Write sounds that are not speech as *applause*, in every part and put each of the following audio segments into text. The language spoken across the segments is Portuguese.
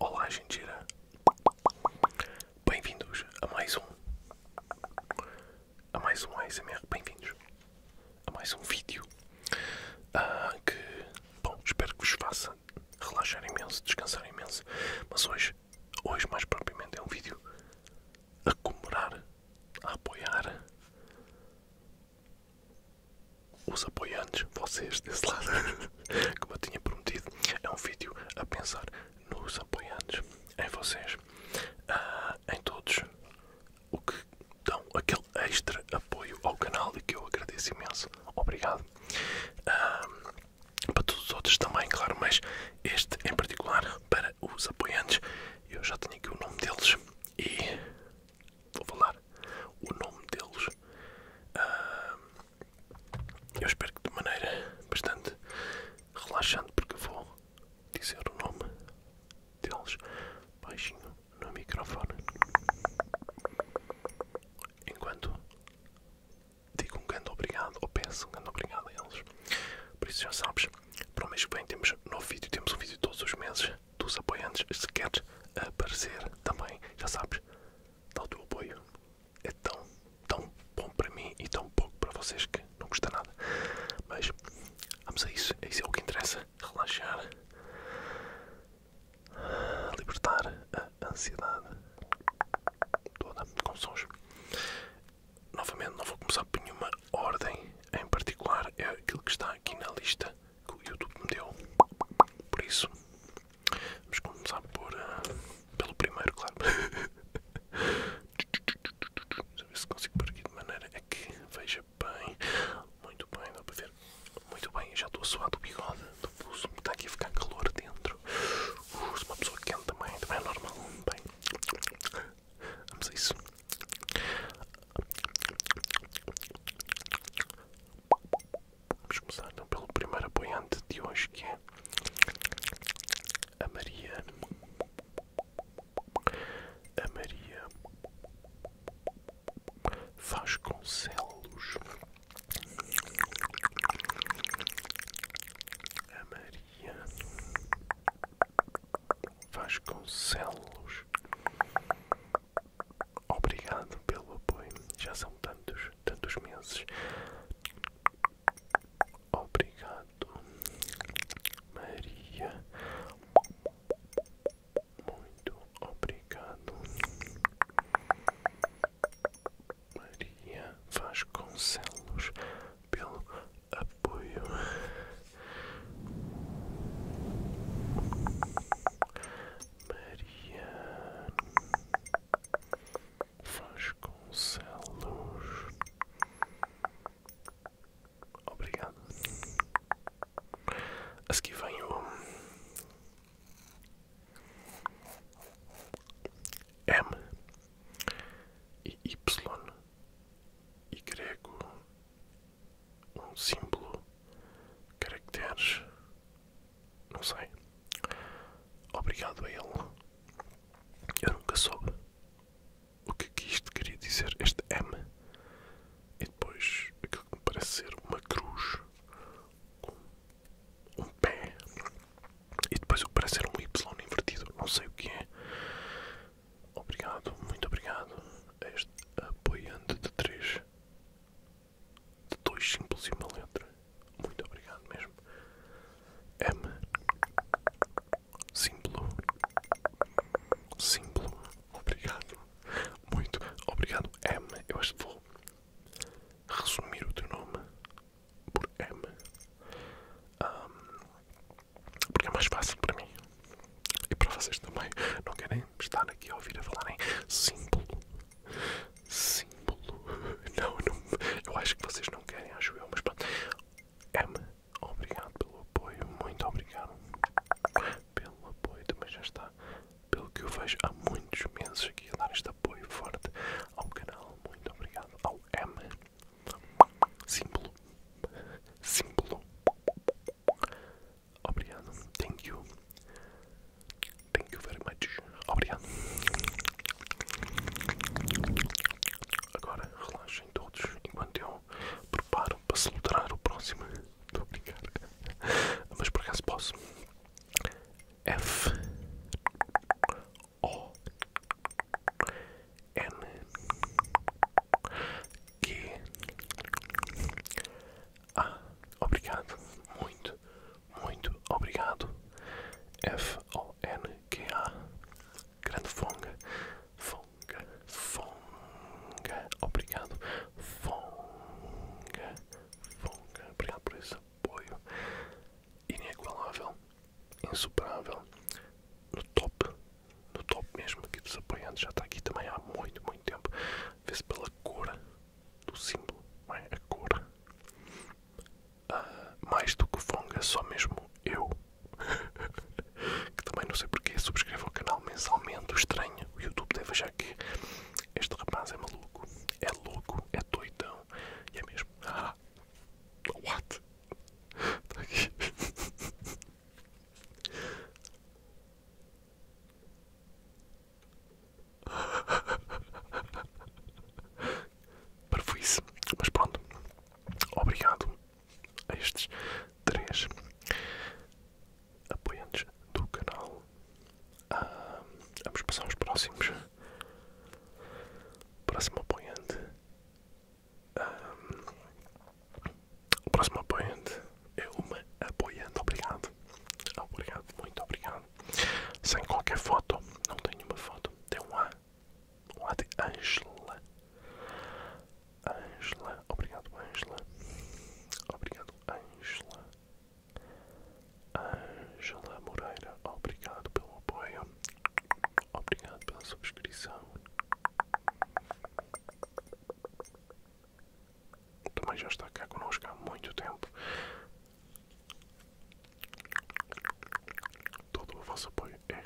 Olá, gente! Bem-vindos a mais um. A mais um ASMR. Bem-vindos a mais um vídeo ah, que, bom, espero que vos faça relaxar imenso, descansar imenso. Mas hoje hoje mais propriamente é um vídeo a comemorar, a apoiar os apoiantes, vocês desse lado, *laughs* como eu tinha prometido, é um vídeo a pensar nos apoiantes, em vocês, uh, em todos o que dão aquele extra apoio ao canal e que eu agradeço imenso. Obrigado. Ah, para todos os outros também, claro, mas este em particular para os apoiantes. Eu já tenho aqui o nome deles e vou falar o nome deles. Ah, eu espero que de maneira bastante relaxante, porque vou dizer o nome deles baixinho no microfone enquanto digo um grande obrigado, ou peço um grande obrigado a eles. Por isso já sabes, para o mês que vem temos novo vídeo, temos um vídeo todos os meses dos apoiantes. Se queres aparecer também, já sabes, dá o teu apoio. É tão, tão bom para mim e tão pouco para vocês que não custa nada. Mas vamos a isso, é isso é o que interessa, relaxar, libertar a ansiedade toda com sons. Novamente, não vou começar por nenhuma ordem em particular, é aquilo que está aqui na lista que o YouTube me deu. Por isso, vamos começar por, eh, pelo primeiro, claro. Deixa eu ver se consigo por aqui de maneira a que veja bem. Muito bem, dá para ver. Muito bem, já estou a suar do bigode, do pulso, está aqui a ficar calor dentro. Sou uma pessoa quente também, também é normal. Bem, vamos a isso. Vamos começar então pelo primeiro apoiante de hoje que é a Maria. A Maria Vasconcelos a Maria Vasconcelos. Obrigado pelo apoio. Já são tantos, tantos meses. Obrigado, Maria. Muito obrigado. Maria Vasconcelos pelo apoio. Maria Vasconcelos. Obrigado. A seguir vem o M e Y e grego um símbolo caracteres não sei obrigado a ele eu nunca soube o que, que isto queria dizer este M e depois aquilo que me parece ser uma cruz com um pé e depois o que parece ser um Y invertido, não sei o que é. Obrigado, muito obrigado este apoiante de três, de dois simples e uma letra. Muito obrigado mesmo. M, símbolo, símbolo, obrigado, muito obrigado. M, eu acho que vou resumir o teu nome por M. porque é mais fácil para mim. E para vocês também. Não querem estar aqui a ouvir a falarem símbolo. Símbolo. *laughs* Não, não, eu acho que vocês não querem, acho eu, mas pronto. M, obrigado pelo apoio. Muito obrigado pelo apoio. mas já está. Pelo que eu vejo há muitos meses aqui a dar este apoio forte ao canal. Muito obrigado ao M. Símbolo. Símbolo. Obrigado. Thank you. Thank you very much. Obrigado. Agora relaxem todos enquanto eu preparo para celebrar o próximo. muito obrigado brincar. Mas por acaso posso. F o N Q A ah, Obrigado, muito, muito obrigado F O N Q A Grande Fonga Fonga Fonga Obrigado Fonga Fonga Obrigado por esse apoio inigualável, insuperável, no top, no top mesmo aqui dos apoiantes, já está aqui também há muito, muito tempo. Vê-se pela cor do símbolo, é? a cor. Ah, mais do que o Fonga, é só mesmo eu, *laughs* que também não sei porque subscrevo o canal mensalmente, estranho, o YouTube deve achar que este rapaz é maluco, é louco, é doidão e é mesmo mesmo. Ah, *gasps* what? Está *laughs* *laughs* Mas pronto. Obrigado a estes três apoiantes do canal. Ah, vamos passar aos próximos. Próximo apoiante. Ah, o próximo apoiante é uma apoiante. Obrigado. Obrigado, muito obrigado. Sem qualquer foto. Não tenho uma foto. Tem um A. Um A de Angela. Angela. Obrigado, Angela. Obrigado, Angela. Angela Moreira, obrigado pelo apoio, obrigado pela subscrição. Também já está cá connosco há muito tempo. Todo o vosso apoio é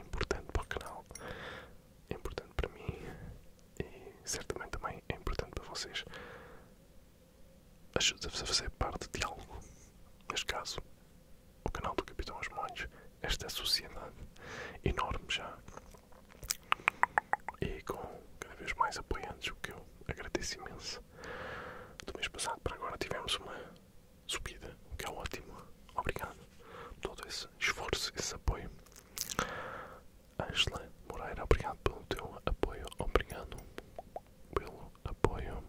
importante para o canal, é importante para mim e certamente também é importante para vocês ajuda-vos a fazer parte de algo. Neste caso, o canal do Capitão os Montes, esta é sociedade enorme já e com cada vez mais apoiantes, o que eu agradeço imenso. Do mês passado para agora tivemos uma subida, o que é ótimo. Obrigado por todo esse esforço, esse apoio. Angela Moreira, obrigado pelo teu apoio. Obrigado pelo apoio.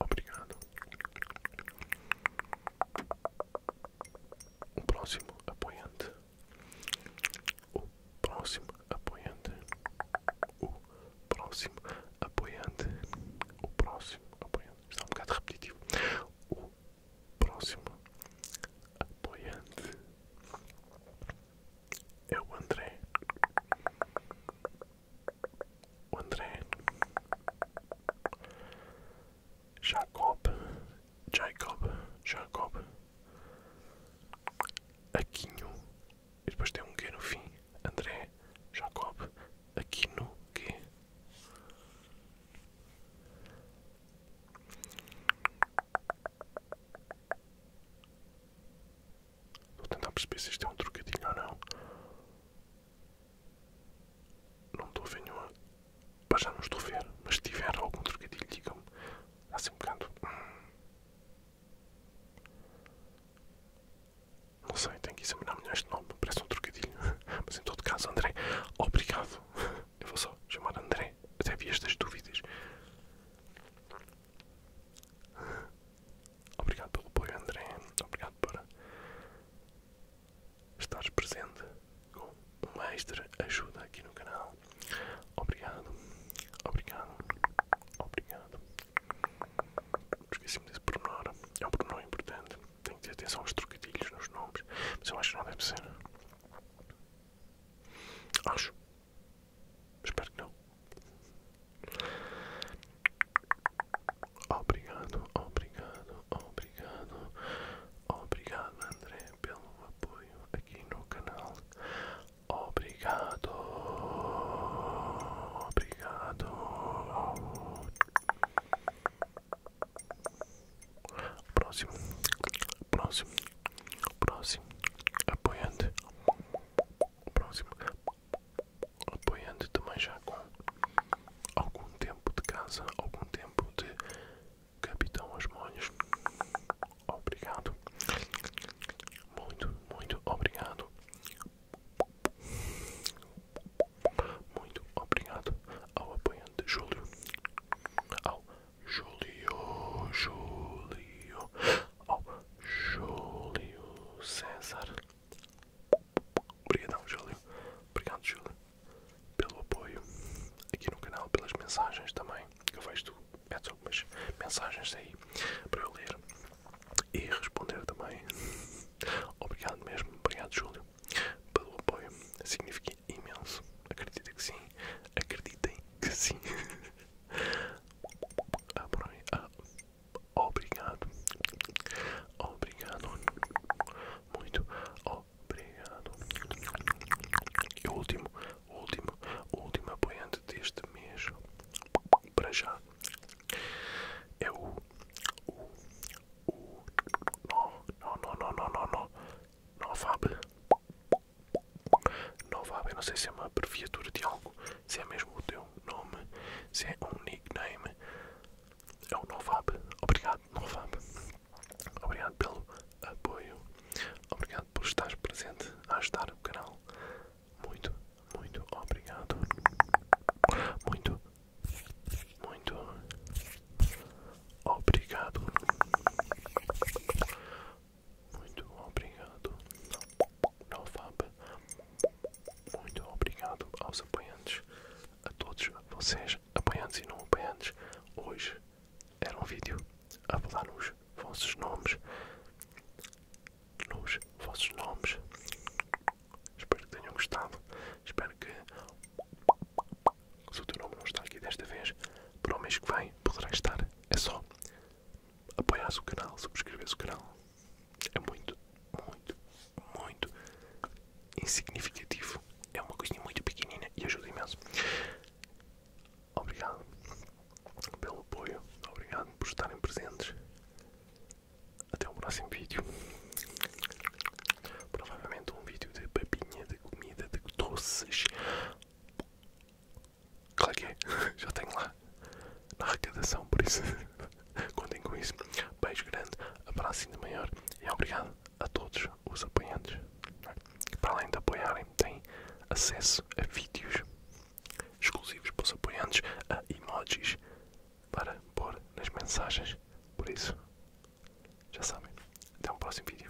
Obrigado. O próximo apoiante. O próximo apoiante. O próximo apoiante. O próximo apoiante. Está um bocado repetitivo. O próximo apoiante é o André. André. Jacob, Jacob, Jacob. Aquinho. E depois tem um Q no fim. André, Jacob, Aquino, Q. Vou tentar perceber se isto é um trocadilho ou não. Não estou a ver nenhuma. Mas já não estou a ver. Mas se tiver algum trocadilho, digam-me. Assim um bocado. Não sei, tenho que examinar melhor este nome. Parece um trocadilho. *laughs* Mas em todo caso, André, obrigado. Eu vou só chamar André. Até vi estas dúvidas. Obrigado pelo apoio, André. Obrigado por estares presente com uma extra ajuda aqui no canal. Obrigado, obrigado, obrigado. Esqueci-me desse pormenor. É um pormenor importante. Tenho que ter atenção aos trocadilhos nos nomes, mas eu acho que não deve ser. Acho, Espero que não. Obrigado, obrigado, obrigado, obrigado André pelo apoio aqui no canal. Obrigado, obrigado. Próximo. Próximo. Próximo. Apoiante. Próximo. Apoiante também já com algum tempo de casa, algum tempo de Capitão Osmolhos. Obrigado. Muito, muito obrigado. Muito obrigado ao apoiante Júlio, ao Júlio, Júlio, oh, Júlio César. Obrigadão, Júlio. Obrigado, Júlio, pelo apoio aqui no canal, pelas mensagens também. Eu vejo tu, metes algumas mensagens aí para eu ler e responder também. Obrigado mesmo, obrigado, Júlio, pelo apoio. Significa imenso. Acredita que sim, acreditem que sim obrigado. Obrigado. Muito obrigado. E o último, último, último apoiante deste mês, para já, é o. o. Não, não, não, não, não, não, não, não, Fábio. Novab, eu não sei se é uma abreviatura de algo, se é mesmo o teu nome, se é um nickname. É o Novab. Obrigado, Novab. Obrigado pelo apoio. Obrigado por estar presente a ajudar o canal. Muito, muito obrigado. Muito, muito obrigado. Muito obrigado NoFab Muito obrigado aos apoiantes A todos vocês, apoiantes e não apoiantes Hoje era um vídeo a falar nos vossos nomes Nos vossos nomes Espero que tenham gostado Espero que Se o teu nome não está aqui desta vez Para o mês que vem poderá estar É só apoiares o canal, subscreveres o canal. É muito, muito, muito insignificativo. É uma coisinha muito pequenina e ajuda imenso. Obrigado pelo apoio, obrigado por estarem presentes. Até o próximo vídeo. Provavelmente um vídeo de babinha de comida, de doces. Claquei, é. *laughs* já tenho lá na arrecadação, por isso *laughs* contem com isso. Beijo grande, abraço ainda maior e obrigado a todos os apoiantes. que Para além de apoiarem, têm acesso a vídeos exclusivos para os apoiantes, a emojis para pôr nas mensagens. Por isso, já sabem. Até um próximo vídeo.